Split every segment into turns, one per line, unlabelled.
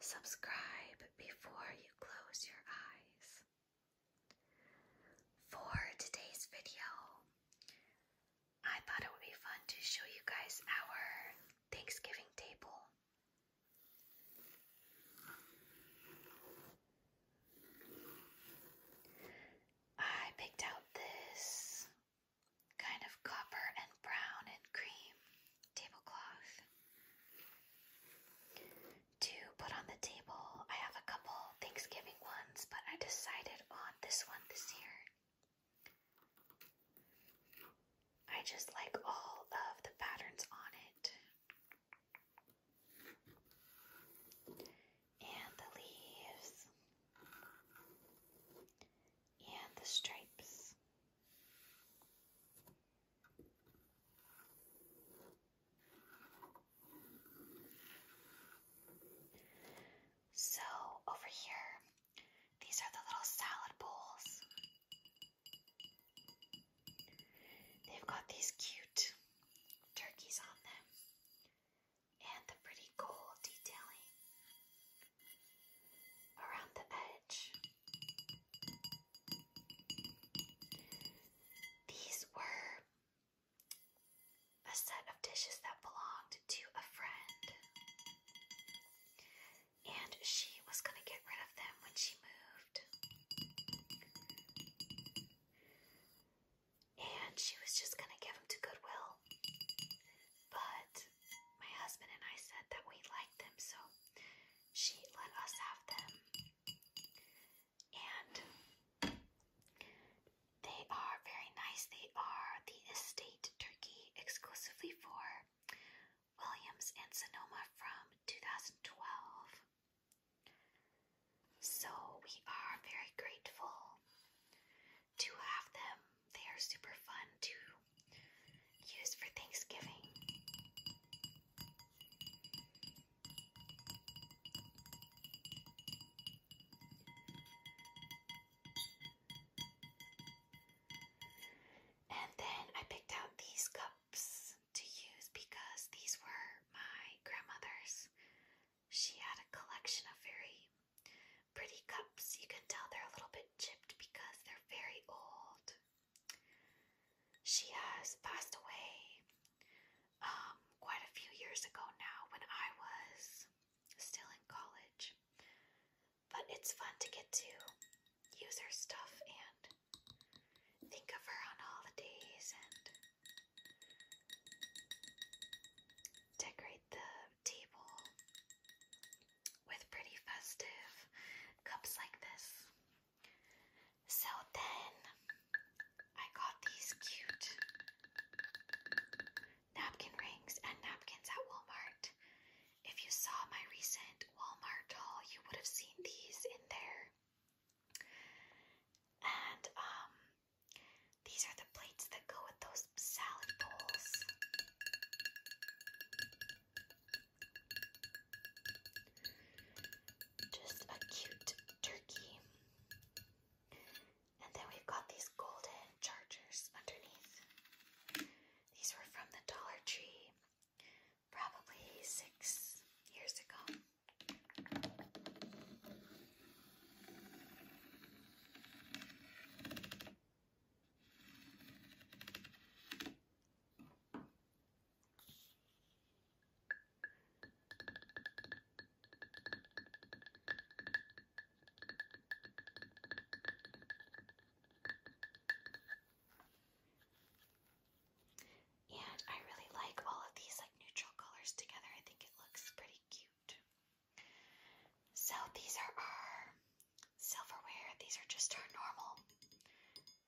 Subscribe before you close your eyes. For today's video, I thought it would be fun to show you guys our Thanksgiving table. I picked out this kind of copper and brown and cream tablecloth. To put on the table, I have a couple Thanksgiving ones, but I decided on this one this year. I just like all of the patterns on it. And the leaves. And the stripes. So, over here, these are the little salad bowls. They've got these cute turkeys on them and the pretty gold detailing around the edge. These were a set of dishes that belonged to a friend, and she was going to get rid of them when she moved. And she was just going to give them to Goodwill. But my husband and I said that we liked them, so she let us have them. And they are very nice. They are the estate turkey exclusively for Williams and Sonoma from 2012. So we are very grateful to have them. They are super fun to use for Thanksgiving. And then I picked out these cups to use because these were my grandmother's. She had a collection of very Pretty cups, you can tell they're a little bit chipped because they're very old. She has passed away um, quite a few years ago now when I was still in college. But it's fun to get to use her stuff and think of her on holidays and decorate the table with pretty festive cups like this. So then I got these cute napkin rings and napkins at Walmart. If you saw my recent Walmart haul, you would have seen these in there. And um these are the plates that go with those salad bowls. Just a cute turkey. And then we've got these golden chargers underneath. These were from the Dollar Tree probably six years ago. And I really like all of these like neutral colors together. I think it looks pretty cute. So these are our silverware. These are just our normal,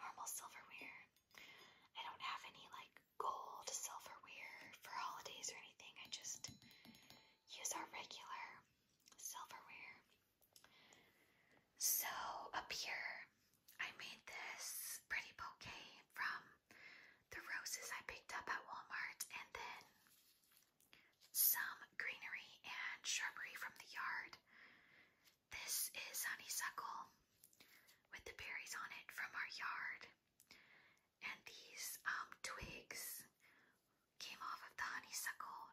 normal silverware. I don't have any like gold silverware for holidays or anything. I just use our regular silverware. So up here, I made this pretty bouquet from the roses I picked up at Walmart and then some greenery and shrubbery from the yard. This is honeysuckle with the berries on it from our yard. And these um, twigs came off of the honeysuckle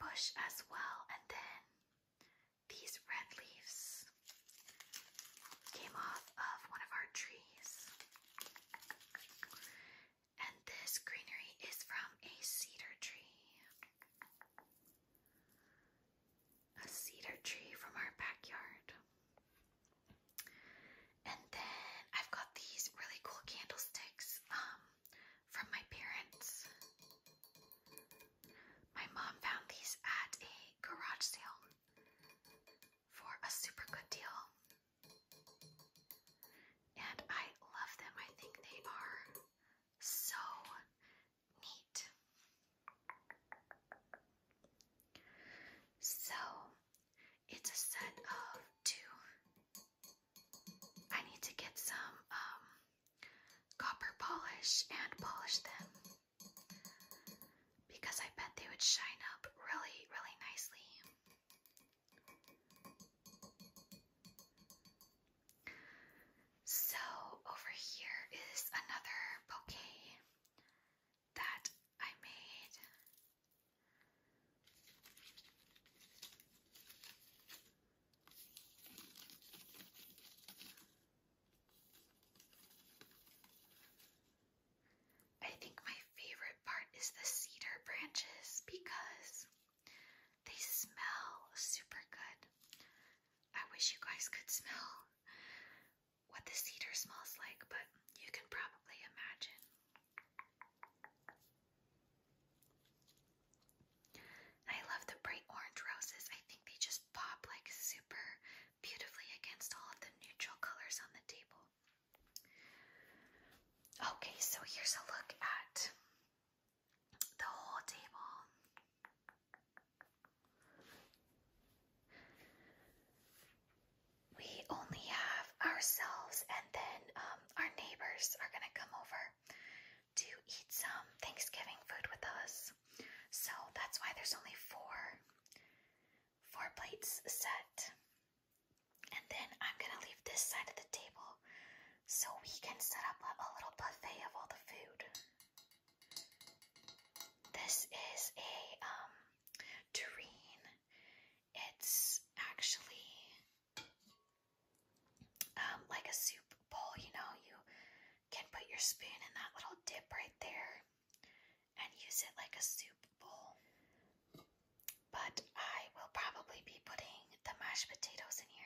bush as well. And then these red leaves came off of one of our trees. And this greenery is from a cedar tree. A cedar tree from our backyard. And then I've got these really cool candlesticks um, from my parents. My mom found these at a garage sale for a super good deal. And I love them. I think they are so neat. So it's a set of two. I need to get some um, copper polish and polish them because I bet they would shine up really, really nicely. So, over here is another bouquet that I made. I think my favorite part is the cedar branches because they smell super good. I wish you guys could smell what the cedar smells like, but you can probably imagine. I love the bright orange roses. I think they just pop like super beautifully against all of the neutral colors on the table. Okay, so here's a look at the whole table. We only have ourselves, and then um, our neighbors are going to come over to eat some Thanksgiving food with us. So that's why there's only four four plates set. And then I'm going to leave this side of the table so we can set up a, little buffet of all the food. This is a um, tureen. It's actually um, like a soup bowl, you know, you can put your spoon in that little dip right there and use it like a soup bowl. But I will probably be putting the mashed potatoes in here.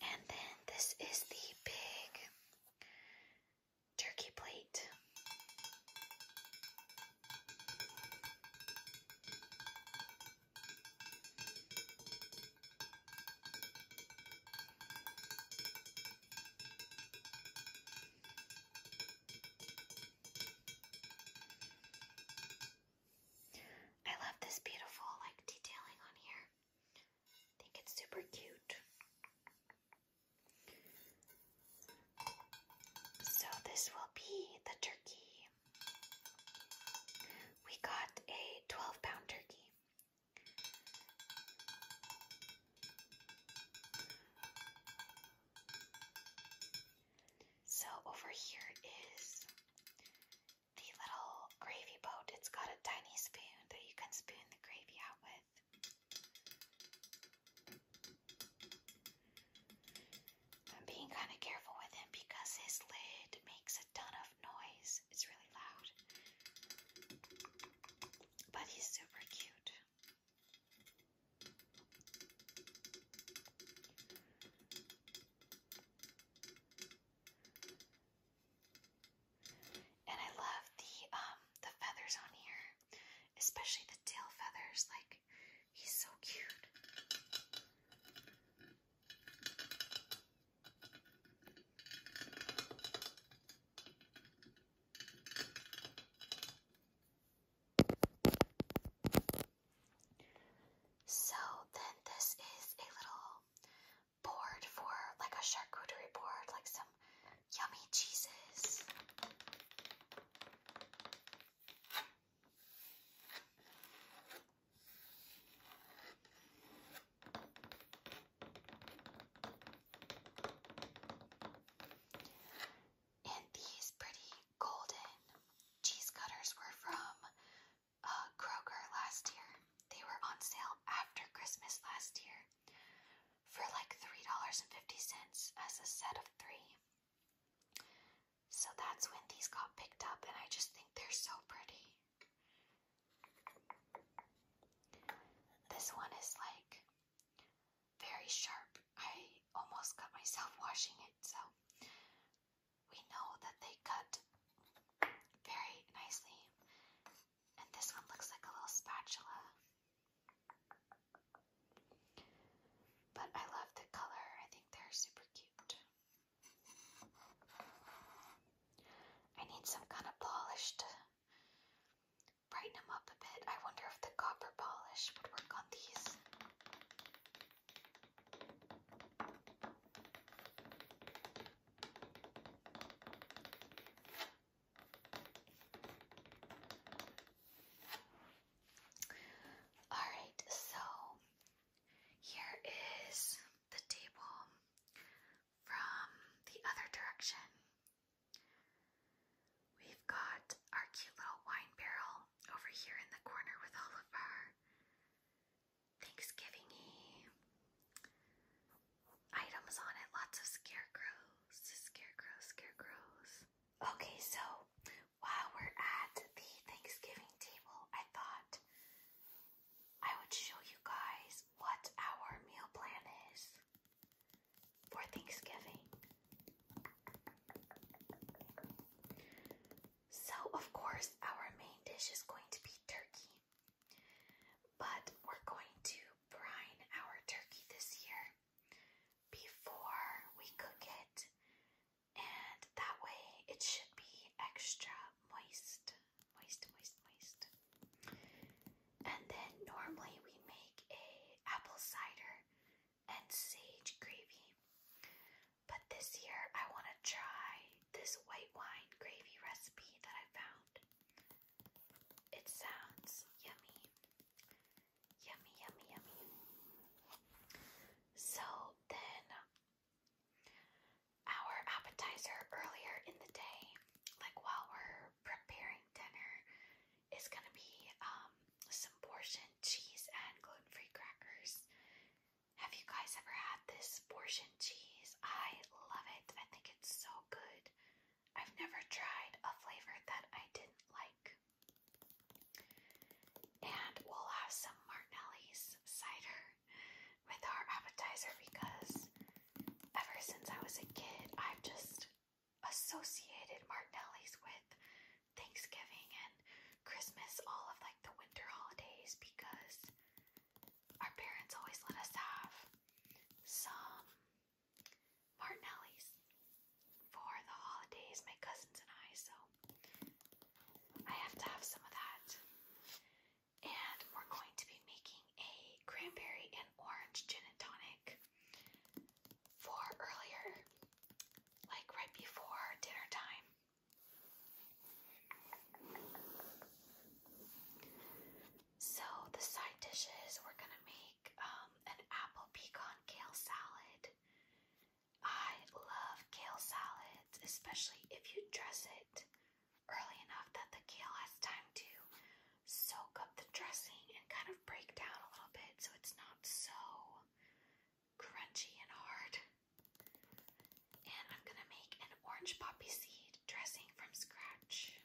And then this is the big turkey plate. I love this beautiful like detailing on here. I think it's super cute. So this will be the turkey. We got a 12 pound turkey. So over here is the little gravy boat. It's got a tiny spoon that you can spoon the gravy out with. I'm being kind of careful with him because his lid makes a ton of noise. It's really loud. But he's super cute. And I love the um the feathers on here, especially the tail feathers. Like he's so cute. So then this is a little board for like a charcuterie board, like some yummy cheeses. And these pretty golden cheese cutters were from uh, Kroger last year. They were on sale after Christmas last year for like $3.50 as a set of three. So that's when these got picked up, and I just think they're so pretty. This one is like very sharp. I almost cut myself washing it, so we know that they cut very nicely. And this one looks like a little spatula. But I love the color, I think they're super cute. I need some kind of polish to brighten them up a bit. I wonder if the copper polish would work on these. All right, so here is the table from the other direction. We've got our cute little wine barrel over here in the corner with all of our Thanksgiving y items on it. Lots of scarecrows, scarecrows, scarecrows. Okay, so while we're at the Thanksgiving table, I thought I would show you guys what our meal plan is for Thanksgiving. So, of course, our main dish is going to be turkey. But we're going to brine our turkey this year before we cook it, and that way it should be extra moist. Moist, moist, moist. And then normally we make a apple cider and sage gravy. But this year I want to try this white wine gravy recipe that I found. It sounds yummy. Yummy, yummy, yummy. So then our appetizer earlier in the day, like while we're preparing dinner, is gonna be um some portion cheese and gluten-free crackers. Have you guys ever had this portion cheese? I love it. I think it's so good. I've never tried a flavor that I didn't like. And we'll have some Martinelli's cider with our appetizer because ever since I was a kid, I've just associated Martinelli's with Thanksgiving and Christmas, all of like the winter holidays, because our parents always let us have some Martinelli's for the holidays, my cousins and I, so I have to have some of that. And we're going to be making a cranberry and orange gin and tonic for earlier like right before dinner time. So the side dishes we're gonna make um, an apple pecan kale salad. I love kale salads, especially if you dress it early enough that the kale has time to soak up the dressing and kind of break down a little bit so it's not so crunchy and hard. And I'm gonna make an orange poppy seed dressing from scratch.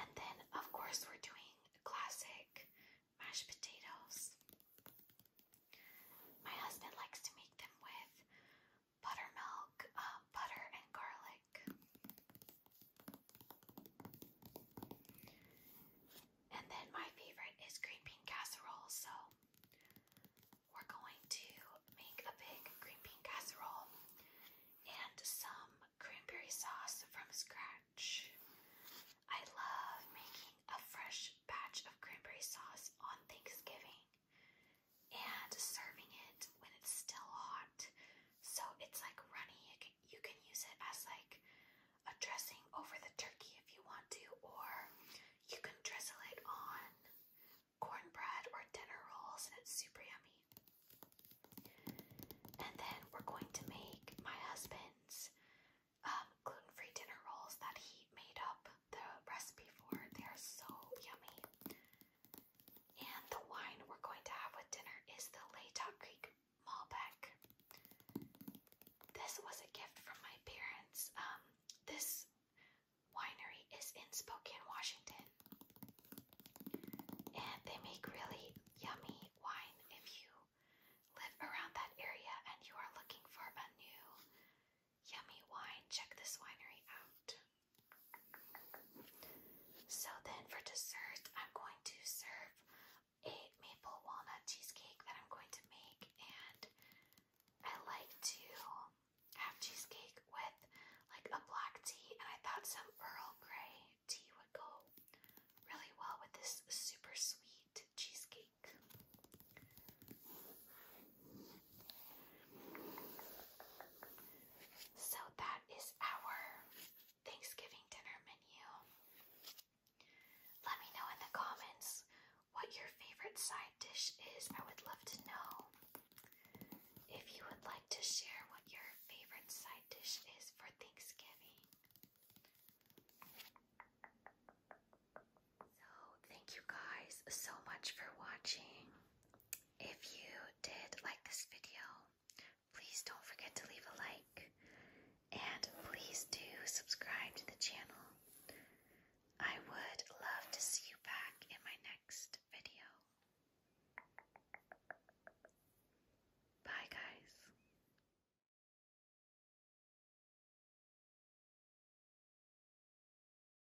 And then, of course, we're doing classic mashed potatoes. My husband likes to make them with buttermilk, um, butter, and garlic. And then my favorite is green bean casserole, so we're going to make a big green bean casserole and some cranberry sauce from scratch. I love making a fresh batch of cranberry sauce on Thanksgiving and serving it when it's still hot. So it's like runny. You can, use it as like a dressing over the turkey if you want to, or you can drizzle it on cornbread or dinner rolls, and it's super yummy. And then we're going to make my husband's um, gluten-free dinner rolls that he made up the recipe for. They are so yummy. And the wine we're going to have with dinner is the Latah Creek Malbec. This was a gift from my parents. Um, this winery is in Spokane, Washington. And they make really yummy wine if you live around that area and you are looking for a new yummy wine. Check this winery out. So then for dessert, I'm going to serve a maple walnut cheesecake that I'm going to make, and I like to have cheesecake with like a black tea, and I thought some Earl Grey tea would go really well with this super sweet cheesecake. So that is our Thanksgiving dinner menu. Let me know in the comments what your favorite side dish is. I would love to know. If you would like to share what your favorite side dish is for Thanksgiving. So, thank you guys so much for watching. If you did like this video, please don't forget to leave a like and please do subscribe to the channel. I would love to see you back in my next video. Bye, guys.